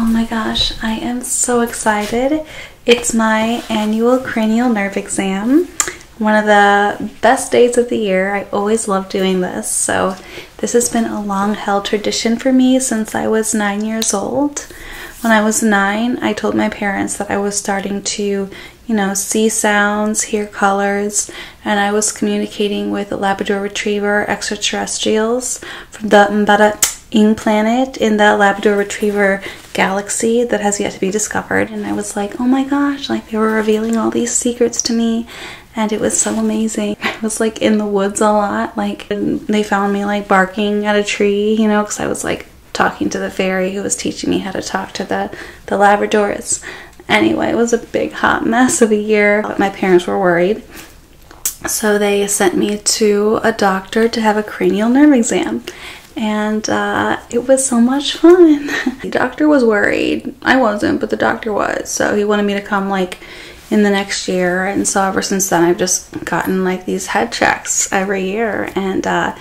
Oh my gosh, I am so excited. It's my annual cranial nerve exam. One of the best days of the year. I always love doing this. So, this has been a long held tradition for me since I was nine years old. When I was nine, I told my parents that I was starting to, you know, see sounds, hear colors, and I was communicating with Labrador Retriever extraterrestrials from the Mbata Ing planet in the Labrador Retriever galaxy that has yet to be discovered. And I was like, oh my gosh, like they were revealing all these secrets to me and it was so amazing. I was like in the woods a lot, like they found me like barking at a tree, you know, because I was like talking to the fairy who was teaching me how to talk to the, the Labradors. Anyway, it was a big hot mess of a year. My parents were worried. So they sent me to a doctor to have a cranial nerve exam. And uh, it was so much fun. the doctor was worried. I wasn't, but the doctor was. So he wanted me to come like in the next year. And so ever since then, I've just gotten like these head checks every year, and uh,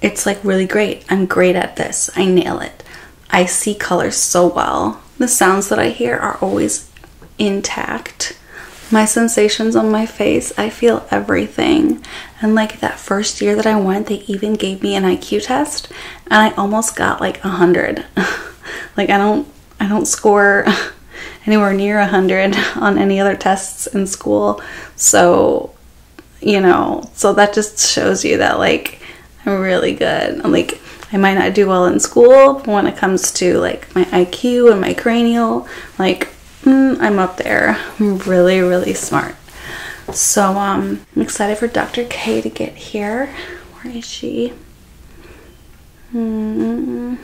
it's like really great. I'm great at this. I nail it. I see colors so well. The sounds that I hear are always intact. My sensations on my face, I feel everything. And like that first year that I went, they even gave me an IQ test and I almost got like a 100. like I don't I don't score anywhere near 100 on any other tests in school. So, you know, so that just shows you that like I'm really good. like, I might not do well in school, when it comes to like my IQ and my cranial, like mm, I'm up there. I'm really, really smart. So um, I'm excited for Dr. K to get here. Where is she? Mm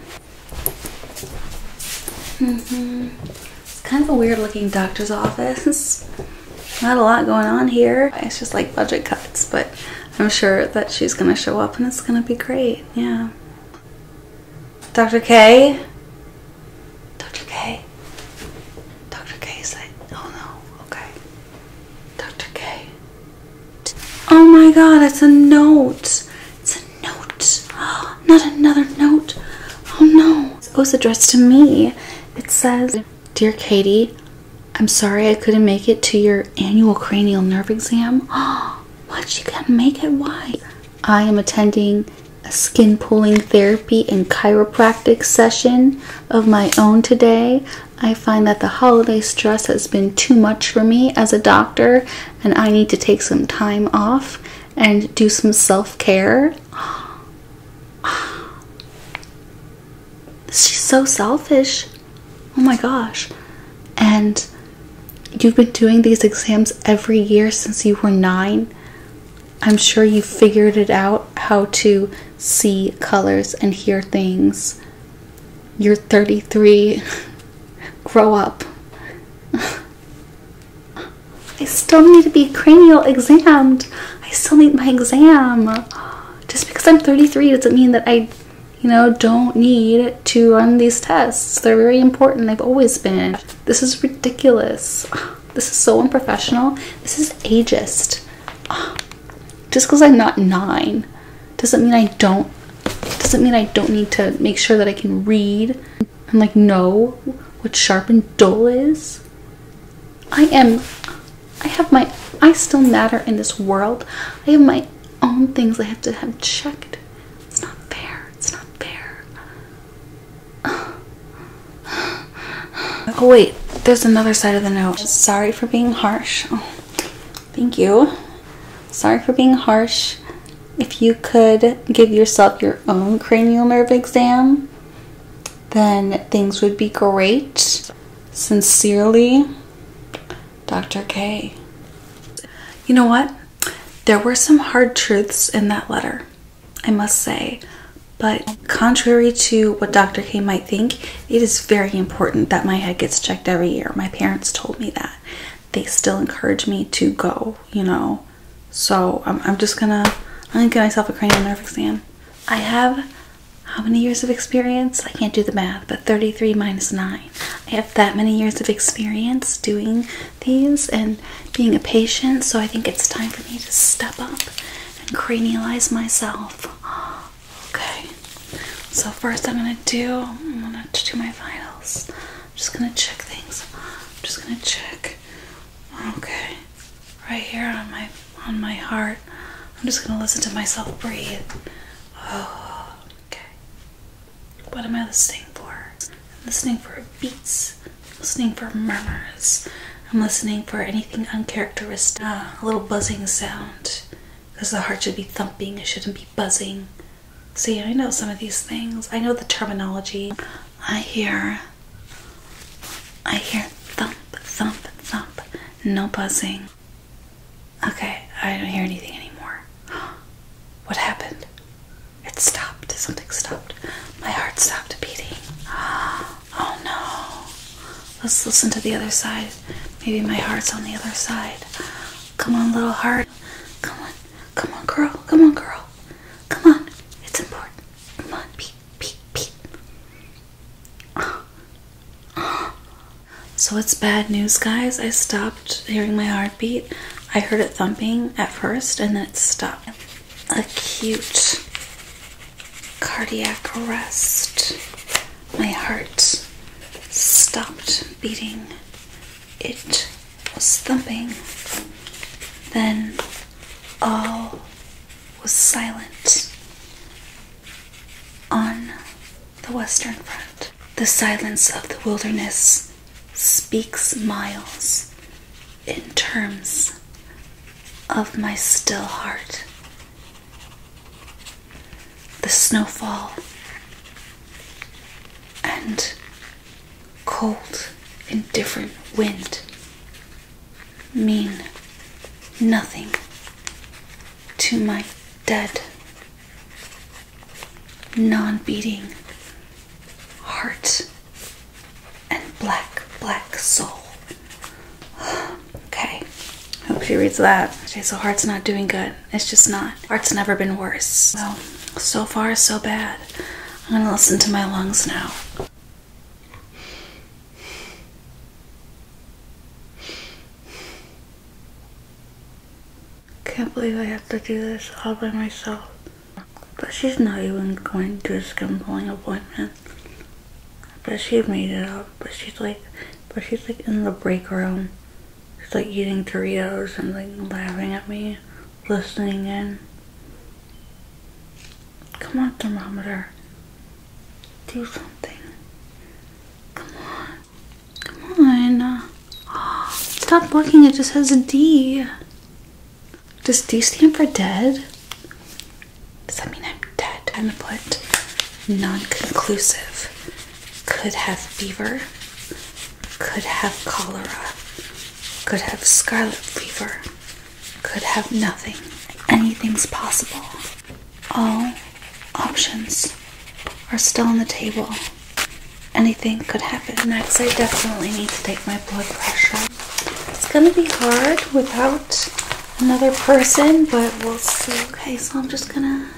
Mm -hmm. It's kind of a weird looking doctor's office. Not a lot going on here. It's just like budget cuts, but I'm sure that she's gonna show up and it's gonna be great. Yeah. Dr. K? Dr. K? Dr. K is like, oh no, okay. Dr. K. Oh my god, it's a note. It's a note. not another note. Oh no. Oh, it's addressed to me. It says, Dear Katie, I'm sorry I couldn't make it to your annual cranial nerve exam. Oh, what? She couldn't make it? Why? I am attending a skin pulling therapy and chiropractic session of my own today. I find that the holiday stress has been too much for me as a doctor and I need to take some time off and do some self care. She's so selfish. Oh my gosh. And you've been doing these exams every year since you were nine. I'm sure you figured it out how to see colors and hear things. You're 33. Grow up. I still need to be cranial examined. I still need my exam. Just because I'm 33 doesn't mean that I, you know, don't need to run these tests. They're very important. They've always been. This is ridiculous. This is so unprofessional. This is ageist. Just because I'm not nine doesn't mean I don't doesn't mean I don't need to make sure that I can read and like know what sharp and dull is? I am, I have my, I still matter in this world. I have my own things I have to have checked. It's not fair. It's not fair. Oh, wait, there's another side of the note. Sorry for being harsh. Oh, thank you. Sorry for being harsh if you could give yourself your own cranial nerve exam, then things would be great. Sincerely, Dr. K. You know what? There were some hard truths in that letter, I must say. But contrary to what Dr. K might think, it is very important that my head gets checked every year. My parents told me that they still encourage me to go, you know. So I'm, just gonna I'm gonna get myself a cranial nerve exam. I have how many years of experience? I can't do the math, but 33 minus 9. I have that many years of experience doing these and being a patient, so I think it's time for me to step up and cranialize myself. Okay. So first I'm gonna do I'm gonna do my vitals. I'm just gonna check things. I'm just gonna check. Okay, right here on my on my heart. I'm just gonna listen to myself breathe. Oh, okay. What am I listening for? listening for beats. listening for murmurs. I'm listening for anything uncharacteristic. Ah, a little buzzing sound, because the heart should be thumping. It shouldn't be buzzing. See, I know some of these things. I know the terminology. I hear I hear thump, thump, thump. No buzzing. Okay, I don't hear anything anymore. What happened? It stopped. Something stopped. My heart stopped beating. Oh no. Let's listen to the other side. Maybe my heart's on the other side. Come on, little heart. Come on. Come on, girl. Come on, girl. Come on. It's important. Come on. Peep, peep, peep. So it's bad news, guys. I stopped hearing my heartbeat. I heard it thumping at first and then it stopped. Acute cardiac arrest. My heart stopped beating it was thumping. Then all was silent on the Western Front. The silence of the wilderness speaks miles in terms of my still heart the snowfall and cold, indifferent wind mean nothing to my dead, non beating heart and black, black soul. okay, hope she reads that. Okay, so heart's not doing good. It's just not. Art's never been worse. So, so far, so bad. I'm gonna listen to my lungs now. Can't believe I have to do this all by myself. But she's not even going to a skin pulling appointment. But she made it up. But she's like, but she's like in the break room it's like eating Doritos and like laughing at me, listening in. Come on, thermometer. Do something. Come on. Come on. stop working. it just says D. Does D stand for dead? Does that mean I'm dead? I'm gonna put non-conclusive could have fever, could have cholera, could have scarlet fever, could have nothing. Anything's possible. All options are still on the table. Anything could happen. Next, I definitely need to take my blood pressure. It's gonna be hard without another person, but we'll see. Okay, so I'm just gonna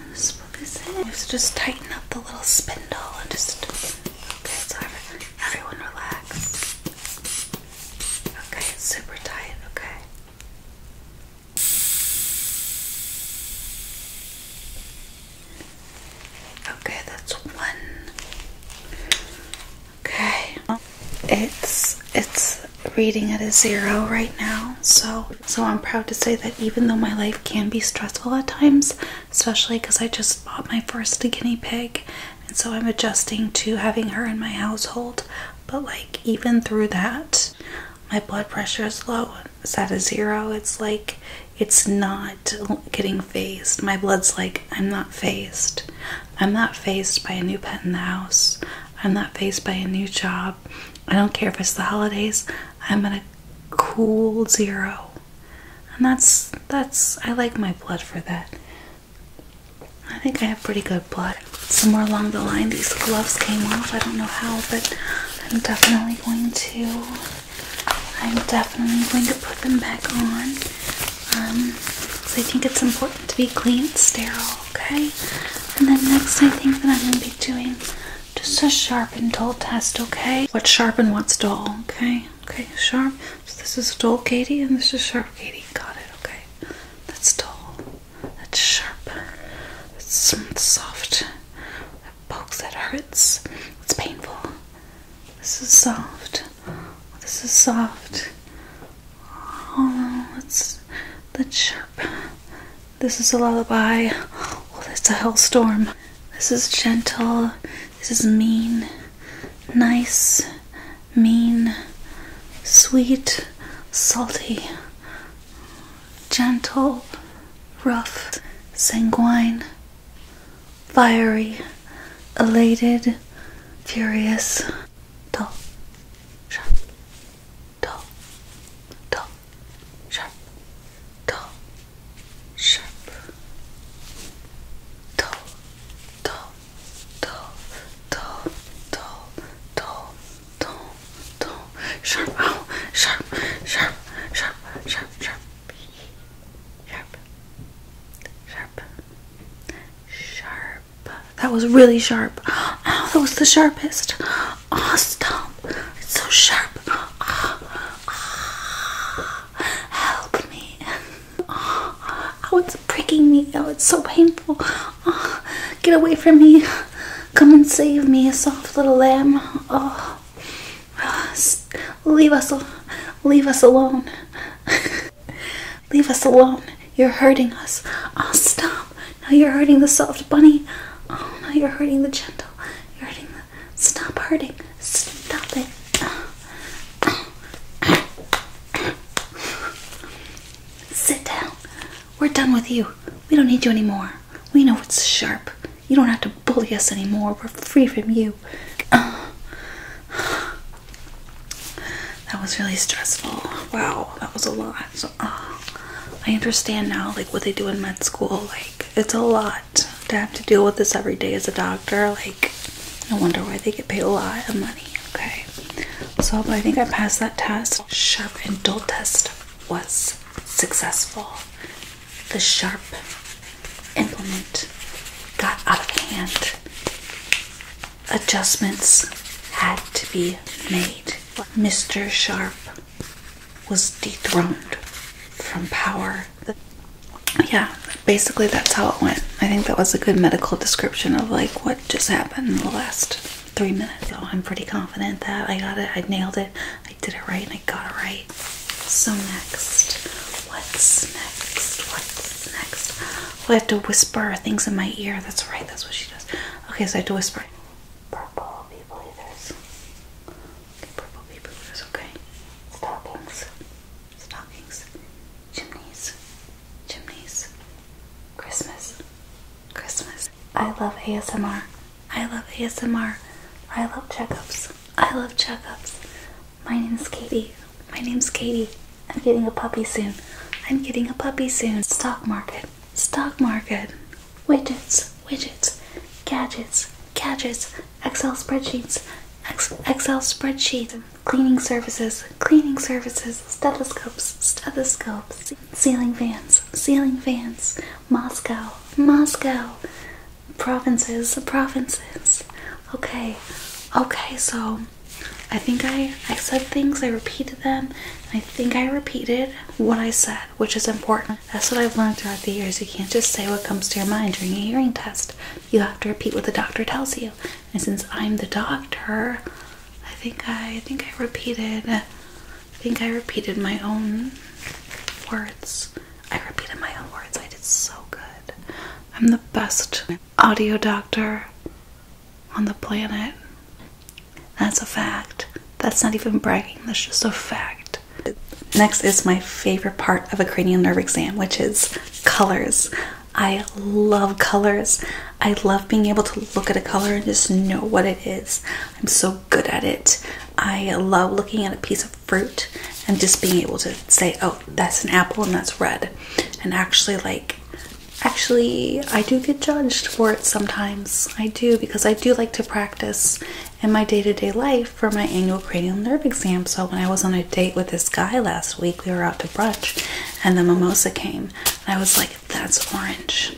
look just tighten up the little spindle and just okay, so everyone relax. Okay, super tight, okay. Okay, that's one. Okay. It's it's reading at a zero right now, so so I'm proud to say that even though my life can be stressful at times, especially because I just bought my first guinea pig, and so I'm adjusting to having her in my household. But like even through that, my blood pressure is low. It's at a zero. It's like it's not getting phased. My blood's like, I'm not phased. I'm not phased by a new pet in the house. I'm not phased by a new job. I don't care if it's the holidays. I'm at a cool zero. And that's that's I like my blood for that. I think I have pretty good blood. Somewhere along the line these gloves came off. I don't know how, but I'm definitely going to I'm definitely going to put them back on. Um so I think it's important to be clean and sterile, okay? And then next I think that I'm gonna be doing just a sharp and dull test, okay? What sharp and what's dull, okay? Okay, sharp. this is dull, Katie, and this is sharp, Katie. Got it, okay? That's dull. That's sharp. That's soft. That pokes, that hurts. It's painful. This is soft. This is soft. Oh, that's, that's sharp. This is a lullaby. Oh, that's a hellstorm. This is gentle. This is mean. Nice. Mean. Sweet. Salty. Gentle. Rough. Sanguine. Fiery. Elated. Furious. Dull dull, dull, sharp, dull, sharp, dull, dull, dull, dull, dull, dull, dull, sharp, ow, oh. sharp, sharp, sharp, sharp, sharp, sharp, sharp, sharp. That was really sharp. that was the sharpest. Oh, it's so sharp. Oh, help me. Oh, it's pricking me. Oh, it's so painful. Oh, get away from me. Come and save me, soft little lamb. Oh, leave us, leave us alone. leave us alone. You're hurting us. Oh, stop. Um, now you're hurting the soft bunny. Oh, now you're hurting the gentle. You're hurting the. Stop hurting. Stop it. Sit down. We're done with you. We don't need you anymore. We know it's sharp. You don't have to bully us anymore. We're free from you. that was really stressful. Wow, that was a lot. Ah. I understand now, like what they do in med school. Like, it's a lot to have to deal with this every day as a doctor. Like, I wonder why they get paid a lot of money. Okay, so I think I passed that test. Sharp and dull test was successful. The sharp implement got out of hand. Adjustments had to be made. Mr. Sharp was dethroned from power. Yeah, basically that's how it went. I think that was a good medical description of like what just happened in the last three minutes. So I'm pretty confident that I got it, I nailed it, I did it right, I got it right. So next, what's next? What's next? I have to whisper things in my ear. That's right, that's what she does. Okay, so I have to whisper purple people eaters. purple people eaters, okay. Stockings, stockings, chimneys, chimneys, Christmas, Christmas. I love ASMR. I love ASMR. I love checkups. I love checkups. My name's Katie. My name's Katie. I'm getting a puppy soon. I'm getting a puppy soon. Stock market stock market, widgets, widgets, gadgets, gadgets, Excel spreadsheets, Excel spreadsheets, cleaning services, cleaning services, stethoscopes, stethoscopes, ceiling fans, ceiling fans, Moscow, Moscow, provinces, provinces. Okay, okay, so I think I I said things, I repeated them, I think I repeated what I said, which is important. That's what I've learned throughout the years. You can't just say what comes to your mind during a hearing test. You have to repeat what the doctor tells you. And since I'm the doctor, I think I, I think I repeated I think I repeated my own words. I repeated my own words. I did so good. I'm the best audio doctor on the planet. That's a fact. That's not even bragging, that's just a fact. Next is my favorite part of a cranial nerve exam, which is colors. I love colors. I love being able to look at a color and just know what it is. I'm so good at it. I love looking at a piece of fruit and just being able to say, oh, that's an apple and that's red. And actually, like, Actually, I do get judged for it sometimes. I do because I do like to practice in my day to day life for my annual cranial nerve exam. So, when I was on a date with this guy last week, we were out to brunch and the mimosa came. I was like, that's orange.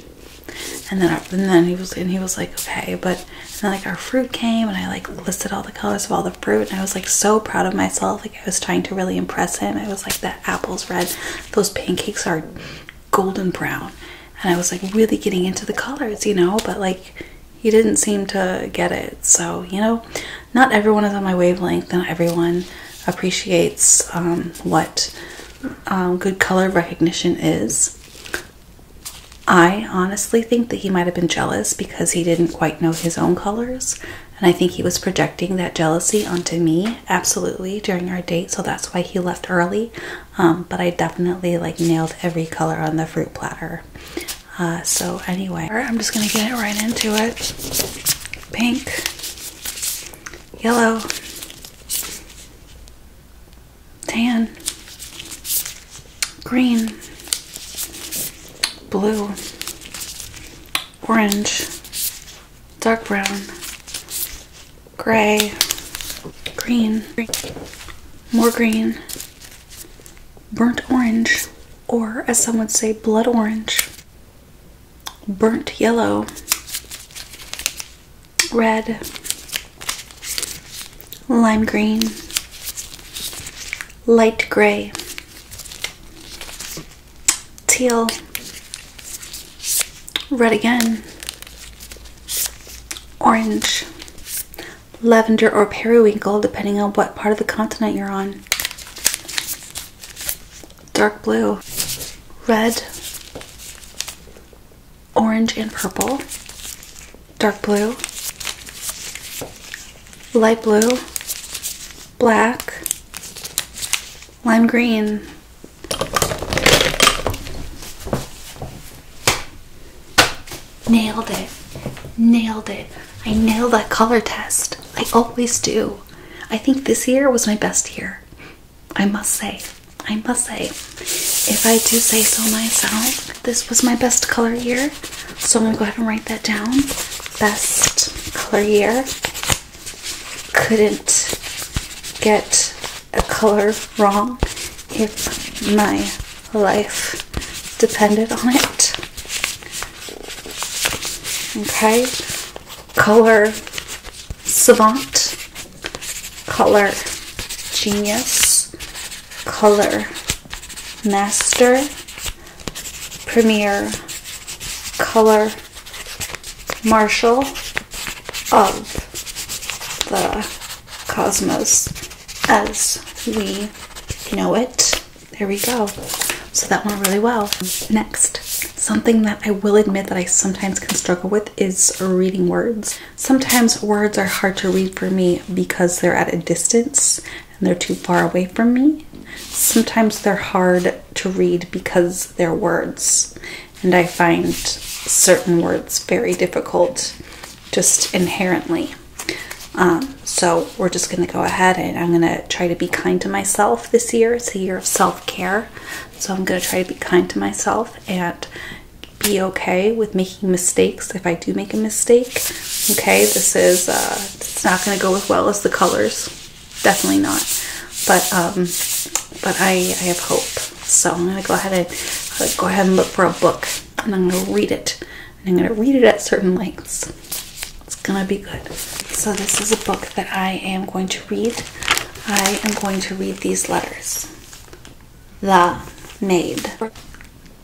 And then, and then he was, and he was like, okay, but then like our fruit came, and I like listed all the colors of all the fruit, and I was like so proud of myself. Like I was trying to really impress him. I was like, the apple's red, those pancakes are golden brown. And I was like really getting into the colors, you know, but like he didn't seem to get it. So, you know, not everyone is on my wavelength, and everyone appreciates um, what um, good color recognition is. I honestly think that he might have been jealous because he didn't quite know his own colors, and I think he was projecting that jealousy onto me absolutely during our date so that's why he left early um, but i definitely like nailed every color on the fruit platter uh, so anyway i'm just gonna get it right into it pink yellow tan green blue orange dark brown, gray, green, more green, burnt orange, or as some would say, blood orange, burnt yellow, red, lime green, light gray, teal, red again, orange, lavender, or periwinkle, depending on what part of the continent you're on, dark blue, red, orange, and purple, dark blue, light blue, black, lime green. Nailed it. Nailed it. I nailed that color test. I always do. I think this year was my best year. I must say. I must say. If I do say so myself, this was my best color year. So I'm going to go ahead and write that down. Best color year couldn't get a color wrong if my life depended on it. Okay, color savant, color genius, color master, premier, color marshal of the cosmos as we know it. There we go. So that went really well. Next, something that I will admit that I sometimes can struggle with is reading words. Sometimes words are hard to read for me because they're at a distance and they're too far away from me. Sometimes they're hard to read because they're words, and I find certain words very difficult just inherently. Um, so we're just going to go ahead and I'm going to try to be kind to myself this year. It's a year of self care. So I'm going to try to be kind to myself and be okay with making mistakes if I do make a mistake. Okay, this is, uh, it's not going to go as well as the colors definitely not. But um, but I I have hope. So I'm gonna go ahead and uh, go ahead and look for a book, and I'm gonna read it, and I'm gonna read it at certain lengths. It's gonna be good. So this is a book that I am going to read. I am going to read these letters. The maid.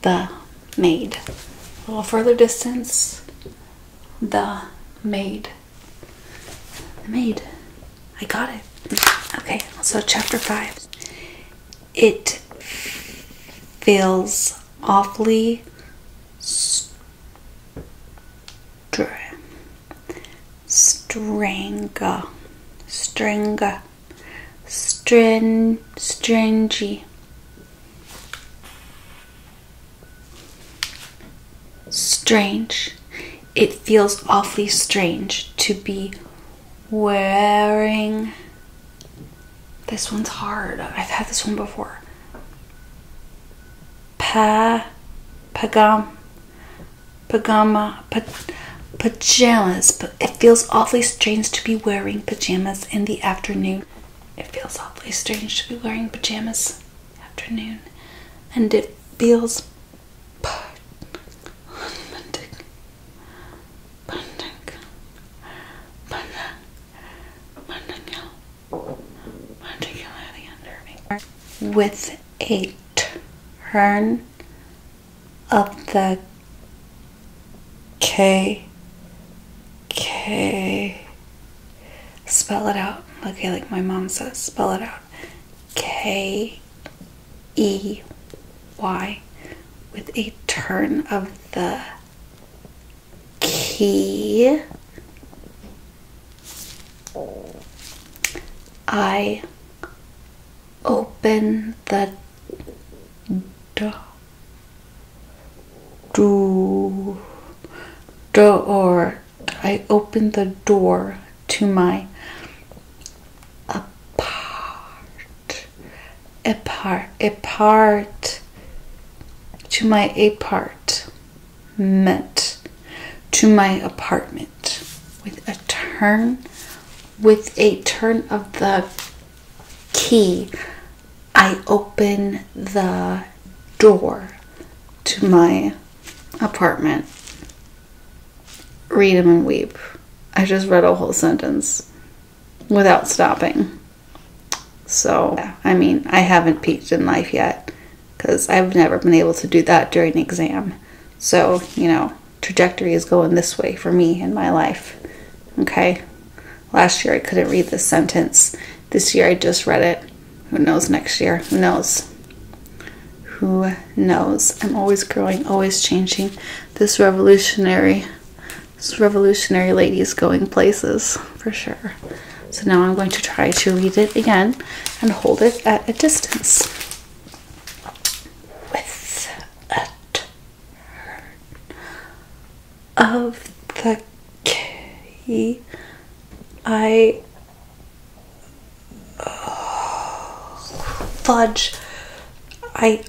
The maid. A little further distance. The maid. The maid. I got it. Okay, so chapter five. It feels awfully strange. stranger, stranger, string, stringy strange. It feels awfully strange to be wearing. This one's hard. I've had this one before. Pa, pagam, pagama, pajamas. But it feels awfully strange to be wearing pajamas in the afternoon. It feels awfully strange to be wearing pajamas afternoon, and it feels unbending, bending, bending, bending out, particularly under me. With a turn of the K Okay. Spell it out. Okay, like my mom says, spell it out. K E Y with a turn of the key. I open the door do door I opened the door to my apart apart apart to my apartment to my apartment with a turn with a turn of the key I open the door to my apartment. Read them and weep. I just read a whole sentence without stopping. So, I mean, I haven't peaked in life yet because I've never been able to do that during an exam. So, you know, trajectory is going this way for me in my life. Okay? Last year I couldn't read this sentence. This year I just read it. Who knows next year? Who knows? Who knows? I'm always growing, always changing. This revolutionary, this revolutionary lady is going places for sure. So now I'm going to try to read it again and hold it at a distance. With a of the key, I fudge. I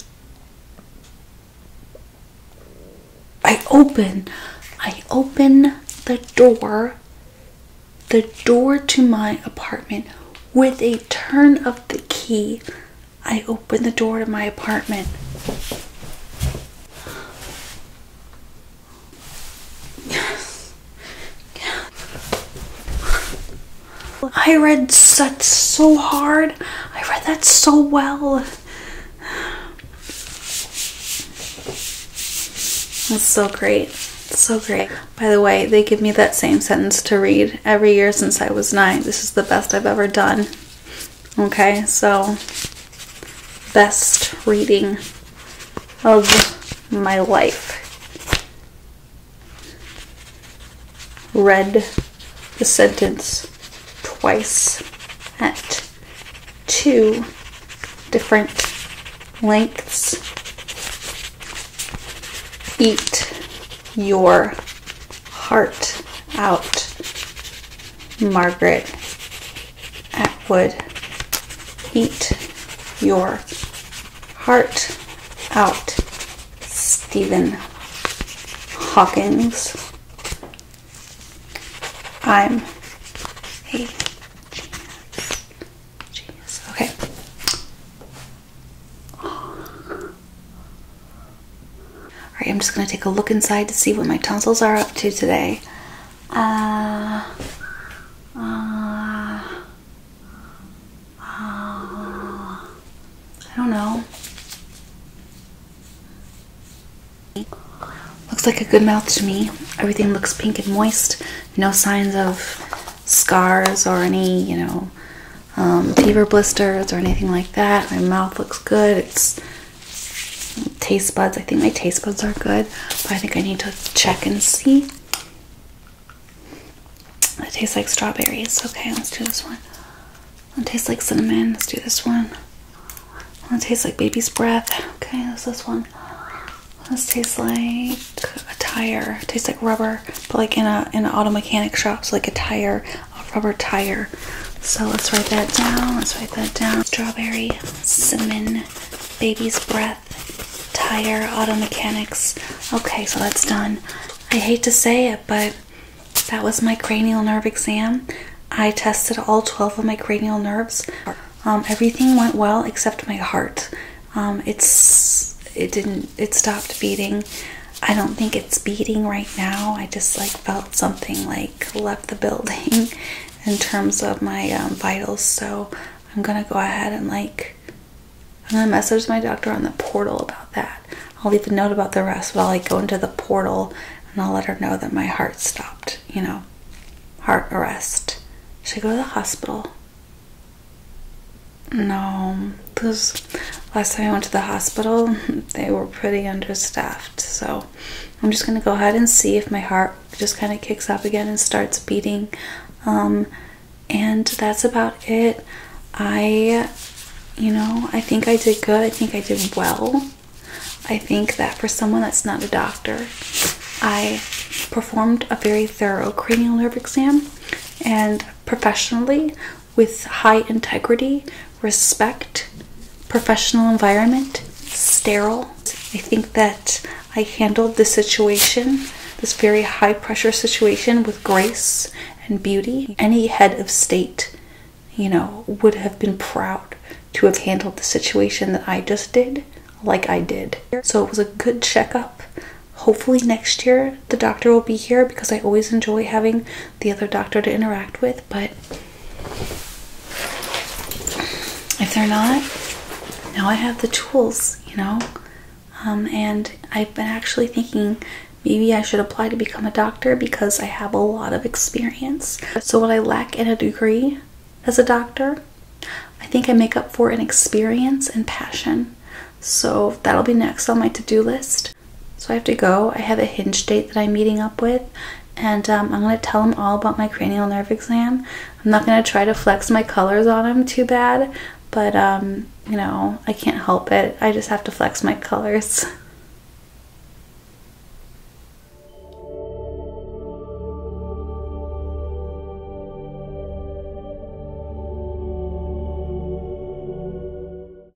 I open. I open the door. The door to my apartment with a turn of the key. I open the door to my apartment. Yes. Yeah. I read such so hard. I read that so well. That's so great. It's so great. By the way, they give me that same sentence to read every year since I was nine. This is the best I've ever done. Okay, so best reading of my life. Read the sentence twice at two different lengths. Eat your heart out Margaret Atwood. Eat your heart out, Stephen Hawkins. I'm a genius. Okay. All right, I'm just going to take a look inside to see what my tonsils are up to today. Uh, uh, uh, I don't know. Looks like a good mouth to me. Everything looks pink and moist. No signs of scars or any, you know, um, fever blisters or anything like that. My mouth looks good. It's taste buds. I think my taste buds are good, but I think I need to check and see. It tastes like strawberries. Okay, let's do this one. It tastes like cinnamon. Let's do this one. It tastes like baby's breath. Okay, that's this one. This tastes like a tire. tastes like rubber, but like in a in an auto mechanic shop, so like a tire a rubber tire. So let's write that down. Let's write that down. Strawberry, cinnamon, baby's breath, tire, auto mechanics. Okay, so that's done. I hate to say it, but that was my cranial nerve exam. I tested all 12 of my cranial nerves. Um, everything went well except my heart. Um, it's it didn't it stopped beating. I don't think it's beating right now. I just like felt something like left the building in terms of my um, vitals so i'm gonna go ahead and like i'm gonna message my doctor on the portal about that i'll leave a note about the rest while i go into the portal and i'll let her know that my heart stopped you know heart arrest should i go to the hospital no, because last time I went to the hospital, they were pretty understaffed. So I'm just going to go ahead and see if my heart just kind of kicks up again and starts beating. Um, and that's about it. I, you know, I think I did good. I think I did well. I think that for someone that's not a doctor, I performed a very thorough cranial nerve exam and professionally with high integrity, respect, professional environment, sterile. I think that I handled this situation, this very high pressure situation, with grace and beauty. Any head of state, you know, would have been proud to have handled the situation that I just did like I did. So it was a good checkup. Hopefully next year the doctor will be here because I always enjoy having the other doctor to interact with but if they're not, now I have the tools, you know. Um, and I've been actually thinking maybe I should apply to become a doctor because I have a lot of experience. So, what I lack in a degree as a doctor, I think I make up for in experience and passion. So, that'll be next on my to do list. So I have to go. I have a hinge date that I'm meeting up with, and um, I'm going to tell them all about my cranial nerve exam. I'm not going to try to flex my colors on them too bad, but um, you know, I can't help it. I just have to flex my colors.